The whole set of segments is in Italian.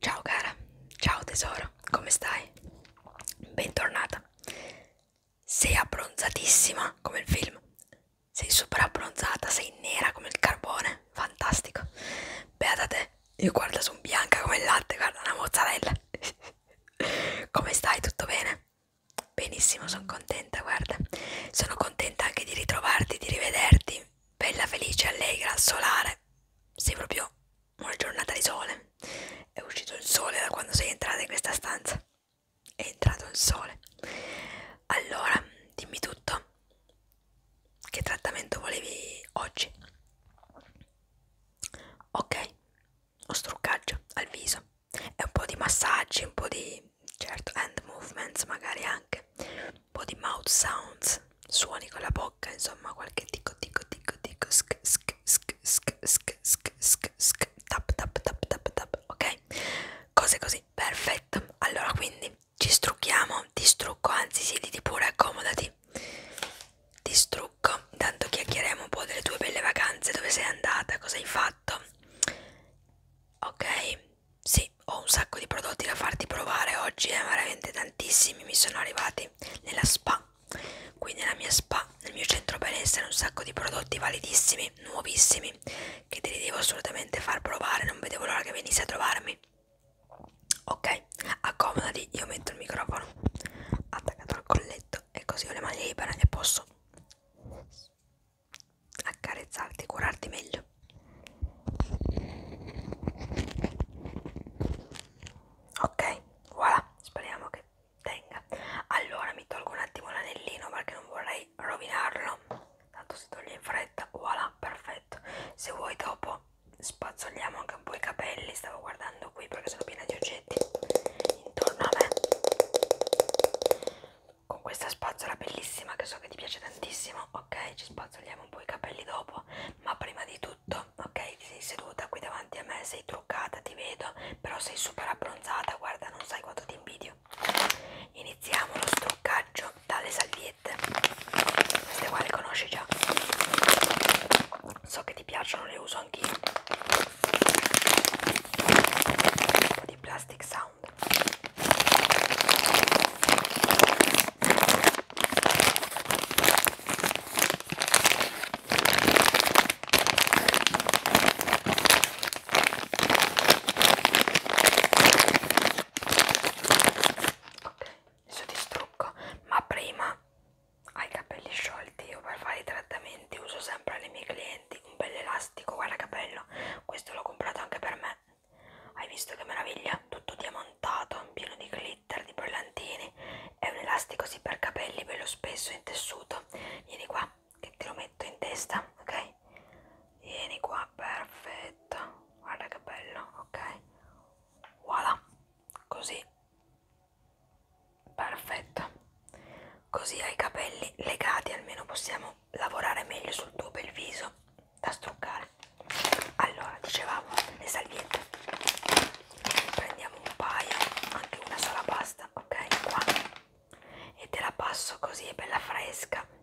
Ciao cara, ciao tesoro, come stai? Bentornata. Sei abbronzatissima come il film. Sei super abbronzata, sei nera come il carbone, fantastico. Beata te, io guarda, sono bianca come il latte, guarda una mozzarella. come stai? Tutto bene? Benissimo, sono contenta, guarda. Sono contenta anche di ritrovarti, di rivederti. Bella, felice, allegra, solare. Sei proprio una giornata di sole. È uscito il sole da quando sei entrata in questa stanza. È entrato il sole. Allora, dimmi tutto. Che trattamento volevi oggi? ok uno struccaggio al viso e un po' di massaggi un po' di certo hand movements magari anche un po' di mouth sounds suoni con la bocca insomma qualche ticco ticco ticco ticco sk sk sk sk sk sk sk sk tap tap tap tap tap ok cose così perfetto allora quindi ci strucchiamo ti strucco anzi siediti pure accomodati ti strucco, intanto chiacchieremo un po' delle tue belle vacanze, dove sei andata, cosa hai fatto. Ok, sì, ho un sacco di prodotti da farti provare oggi, eh, veramente tantissimi mi sono arrivati nella spa, qui nella mia spa, nel mio centro benessere, un sacco di prodotti validissimi, nuovissimi, che te li devo assolutamente far provare, non vedevo l'ora che venissi a trovarmi. Ok, accomodati, io metto il microfono attaccato al colletto e così ho le mani libere e posso accarezzarti, curarti meglio. Ok, voilà, speriamo che tenga. Allora mi tolgo un attimo l'anellino perché non vorrei rovinarlo. Tanto si toglie in fretta, voilà, perfetto perfetto se vuoi dopo spazzoliamo anche un po' i capelli stavo guardando qui perché sono piena di oggetti intorno a me con questa spazzola bellissima che so che ti piace tantissimo ok ci spazzoliamo un po' i capelli dopo ma prima di tutto ok ti sei seduta qui davanti a me sei truccata ti vedo però sei super abbronzata guarda non sai quanto ti invidio iniziamo lo struccaggio dalle salviette queste qua le conosci già so che ti piacciono le uso anch'io un po' di plastic sound ok adesso ti strucco ma prima hai i capelli sciolti io per fare i trattamenti uso sempre alle mie clienti un bel elastico guarda che bello questo l'ho comprato anche per me hai visto che meraviglia tutto diamantato pieno di glitter di brillantini è un elastico sì per capelli bello spesso in tessuto vieni qua che te lo metto in testa ok vieni qua perfetto guarda che bello ok voilà così perfetto così hai i capelli legati almeno possiamo lavorare meglio sul tuo bel viso da struccare allora dicevamo le salviette prendiamo un paio anche una sola basta ok qua e te la passo così è bella fresca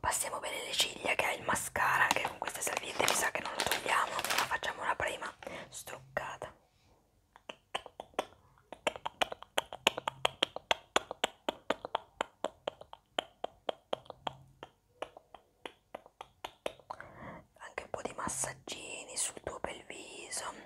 Passiamo bene le ciglia che è il mascara che con queste salviette mi sa che non lo togliamo, ma facciamo una prima struccata. Anche un po' di massaggini sul tuo bel viso.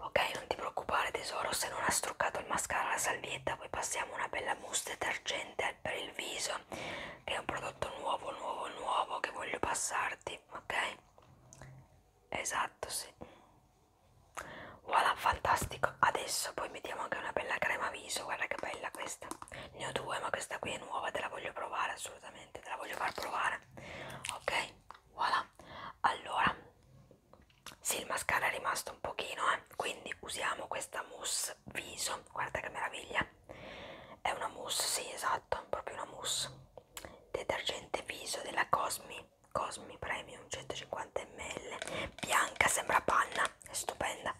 Ok, non ti preoccupare tesoro se non ha struccato il mascara la salvietta, poi passiamo una bella mousse detergente per il viso, che è un prodotto nuovo, nuovo, nuovo che voglio passarti, ok? Esatto, sì. Voilà, fantastico. Adesso poi mettiamo anche una bella crema viso, guarda che bella questa. Ne ho due, ma questa qui è nuova, te la voglio provare assolutamente, te la voglio far provare. Ok? voilà allora sì il mascara è rimasto un pochino eh. quindi usiamo questa mousse viso guarda che meraviglia è una mousse sì esatto proprio una mousse detergente viso della Cosmi Cosmi Premium 150 ml bianca sembra panna è stupenda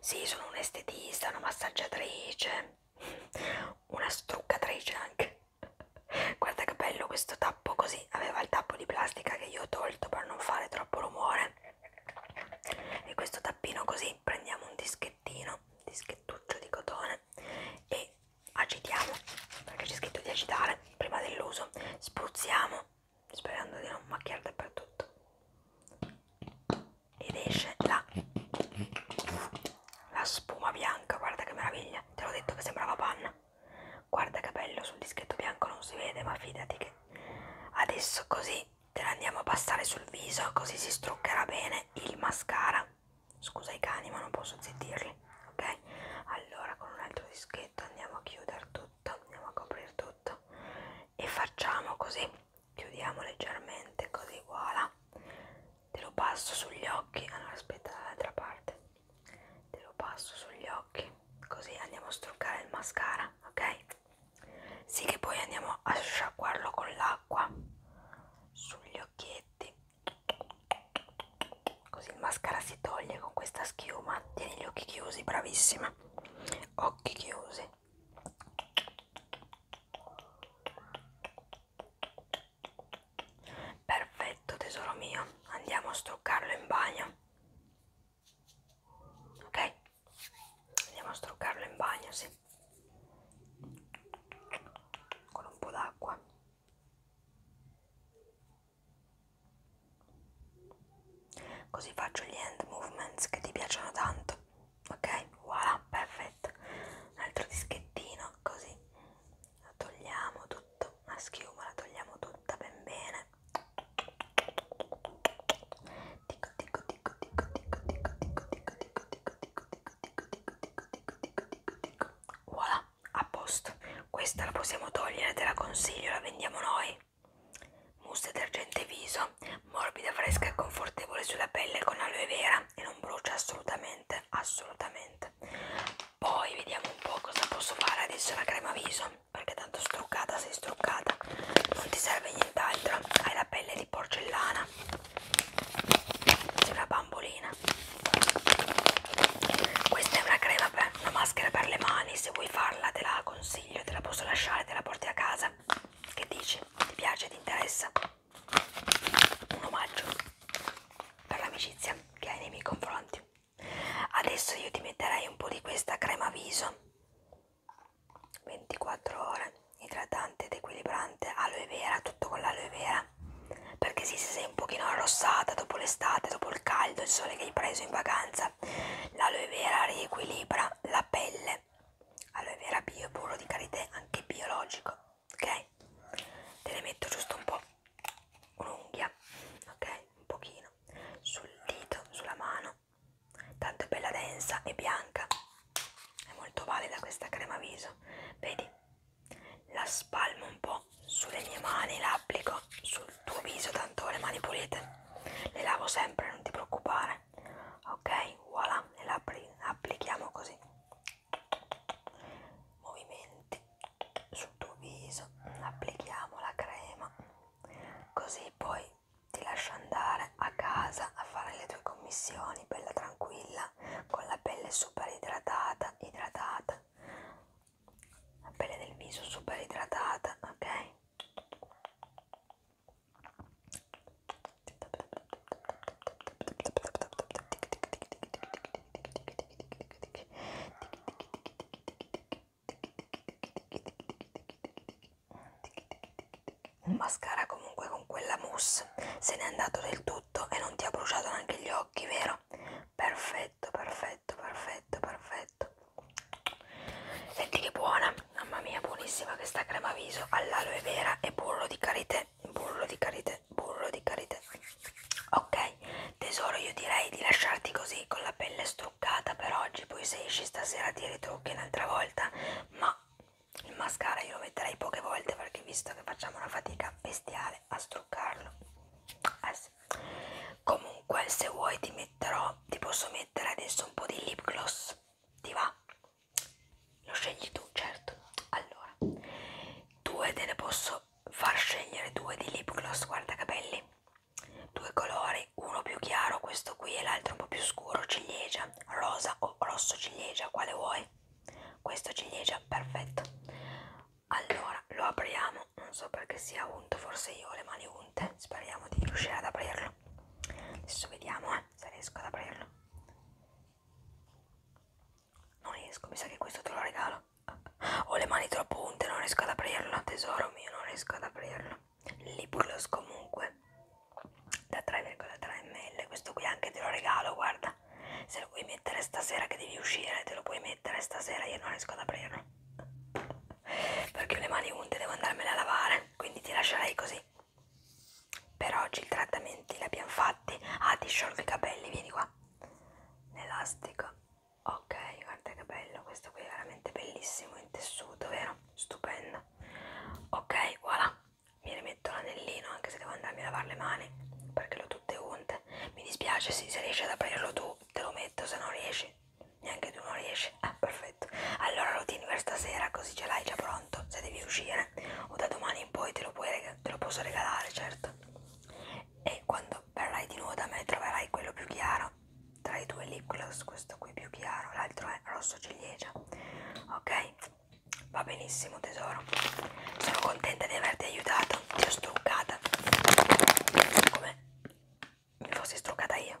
sì, sono un'estetista, una massaggiatrice, una struccatrice anche. Guarda che bello questo tappo così, aveva il tappo di plastica che io ho tolto per non fare troppo rumore. E questo tappino così, prendiamo un dischettino, un dischettuccio di cotone e agitiamo, perché c'è scritto di agitare prima dell'uso, spruzziamo sperando di non macchiare dappertutto ed esce la, la spuma bianca guarda che meraviglia te l'ho detto che sembrava panna guarda che bello sul dischetto bianco non si vede ma fidati che adesso così te la andiamo a passare sul viso così si struccherà bene il mascara scusa i cani ma non posso zittirli ok allora con un altro dischetto andiamo a chiudere tutto andiamo a coprire tutto e facciamo così chiudiamo leggermente così voilà te lo passo sugli occhi allora ah, aspetta dall'altra parte te lo passo sugli occhi così andiamo a struccare il mascara ok sì che poi andiamo a sciacquarlo con l'acqua sugli occhietti così il mascara si toglie con questa schiuma tieni gli occhi chiusi bravissima occhi chiusi perfetto tesoro mio andiamo a struccarlo in bagno ok andiamo a struccarlo in bagno sì con un po' d'acqua Così faccio gli hand movements che ti piacciono tanto. Ok? Voilà, perfetto. Un altro dischettino, così. La togliamo tutto, la schiuma la togliamo tutta ben bene. Ticco ticco ticco ticco ticco ticco ticco ticco ticco ticco ticco ticco ticco ticco ticco ticco ticco. Voilà, a posto. Questa la possiamo togliere, te la consiglio, la vendiamo noi. Mousse detergente viso, morbida, fresca e confortevole sulla pelle con aloe vera e non brucia assolutamente, assolutamente. Poi vediamo un po' cosa posso fare adesso la crema viso, perché tanto struccata sei struccata, non ti serve nient'altro, hai la pelle di porcellana, sei una bambolina. Questa è una crema per una maschera per le mani, se vuoi farla te la consiglio, te la posso lasciare, te la porti a casa. Che dici? Ti piace, ti interessa? Un omaggio per l'amicizia che hai nei miei confronti. Adesso io ti metterei un po' di questa crema viso 24 ore idratante ed equilibrante aloe vera, tutto con l'aloe vera perché sì, se sei un pochino arrossata dopo l'estate, dopo il caldo, il sole che hai preso in vacanza. L'aloe vera riequilibra la pelle. Aloe vera bio, burro di karité, anche biologico. Ok? Te ne metto giusto un po'. Un'unghia, ok? Un pochino. Sul dito, sulla mano. Tanto è bella densa e bianca. È molto valida questa crema viso. Vedi? la spalmo un po' sulle mie mani, la applico sul tuo viso, tanto ho le mani pulite, le lavo sempre, non ti preoccupare. Ok, voilà, e la applichiamo così. Movimenti sul tuo viso, applichiamo la crema, così poi ti lascio andare a casa a fare le tue commissioni, bella tranquilla, con la pelle super idratata, idratata la pelle del viso super idratata, ok? Un mascara comunque con quella mousse se n'è andato del tutto e non ti ha bruciato neanche gli occhi, vero? perfetto perfetto perfetto perfetto senti che buona mamma mia buonissima questa crema viso all'aloe vera e burro di karité burro di karité burro di karité ok tesoro io direi di lasciarti così con la pelle struccata per oggi poi se esci stasera ti ritrucchi un'altra volta ma il mascara io lo metterei poche volte perché visto che facciamo una fatica bestiale a struccarlo S. Comunque, se vuoi, ti metterò. Ti posso mettere adesso un po' di lip gloss. Ti va? Lo scegli tu, certo. Allora, due te ne posso far scegliere due di lip gloss. Guarda che belli. Due colori, uno più chiaro, questo qui, e l'altro un po' più scuro, ciliegia, rosa o rosso ciliegia, quale vuoi? Questo ciliegia, perfetto allora lo apriamo non so perché sia unto forse io ho le mani unte speriamo di riuscire ad aprirlo adesso vediamo eh, se riesco ad aprirlo non riesco mi sa che questo te lo regalo ho le mani troppo unte non riesco ad aprirlo tesoro mio non riesco ad aprirlo Libulus comunque da 3,3 ml questo qui anche te lo regalo guarda se lo vuoi mettere stasera che devi uscire te lo puoi mettere stasera io non riesco ad aprirlo perché ho le mani unte devo andarmele a lavare quindi ti lascerei così per oggi i trattamenti li abbiamo fatti ah ti sciolgo i capelli vieni qua l'elastico ok guarda che bello questo qui è veramente bellissimo in tessuto vero stupendo ok voilà mi rimetto l'anellino anche se devo andarmi a lavare le mani perché le ho tutte unte mi dispiace sì, se riesci ad aprirlo tu te lo metto se non riesci neanche tu non riesci ah perfetto allora lo tieni per stasera così ce l'hai già pronto se devi uscire o da domani in poi te lo, puoi te lo posso regalare certo e quando verrai di nuovo da me troverai quello più chiaro tra i due lip gloss questo qui più chiaro l'altro è rosso ciliegia ok Va benissimo tesoro. Sono contenta di averti aiutato. Ti ho struccata. Come mi fossi struccata io.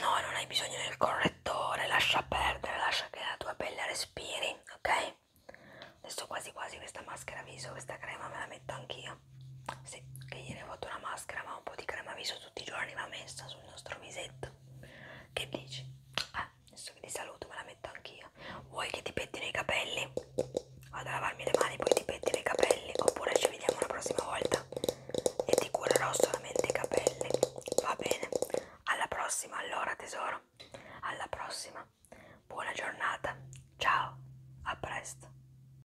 No, non hai bisogno del correttore. Lascia perdere, lascia che la tua pelle respiri, ok? Adesso quasi quasi questa maschera viso, questa crema me la metto anch'io sì, che ieri ho fatto una maschera ma un po' di crema viso tutti i giorni va messa sul nostro visetto che dici? ah, adesso che ti saluto me la metto anch'io vuoi che ti pettino i capelli? vado a lavarmi le mani poi ti pettino i capelli oppure ci vediamo la prossima volta e ti curerò solamente i capelli va bene? alla prossima allora tesoro alla prossima buona giornata ciao a presto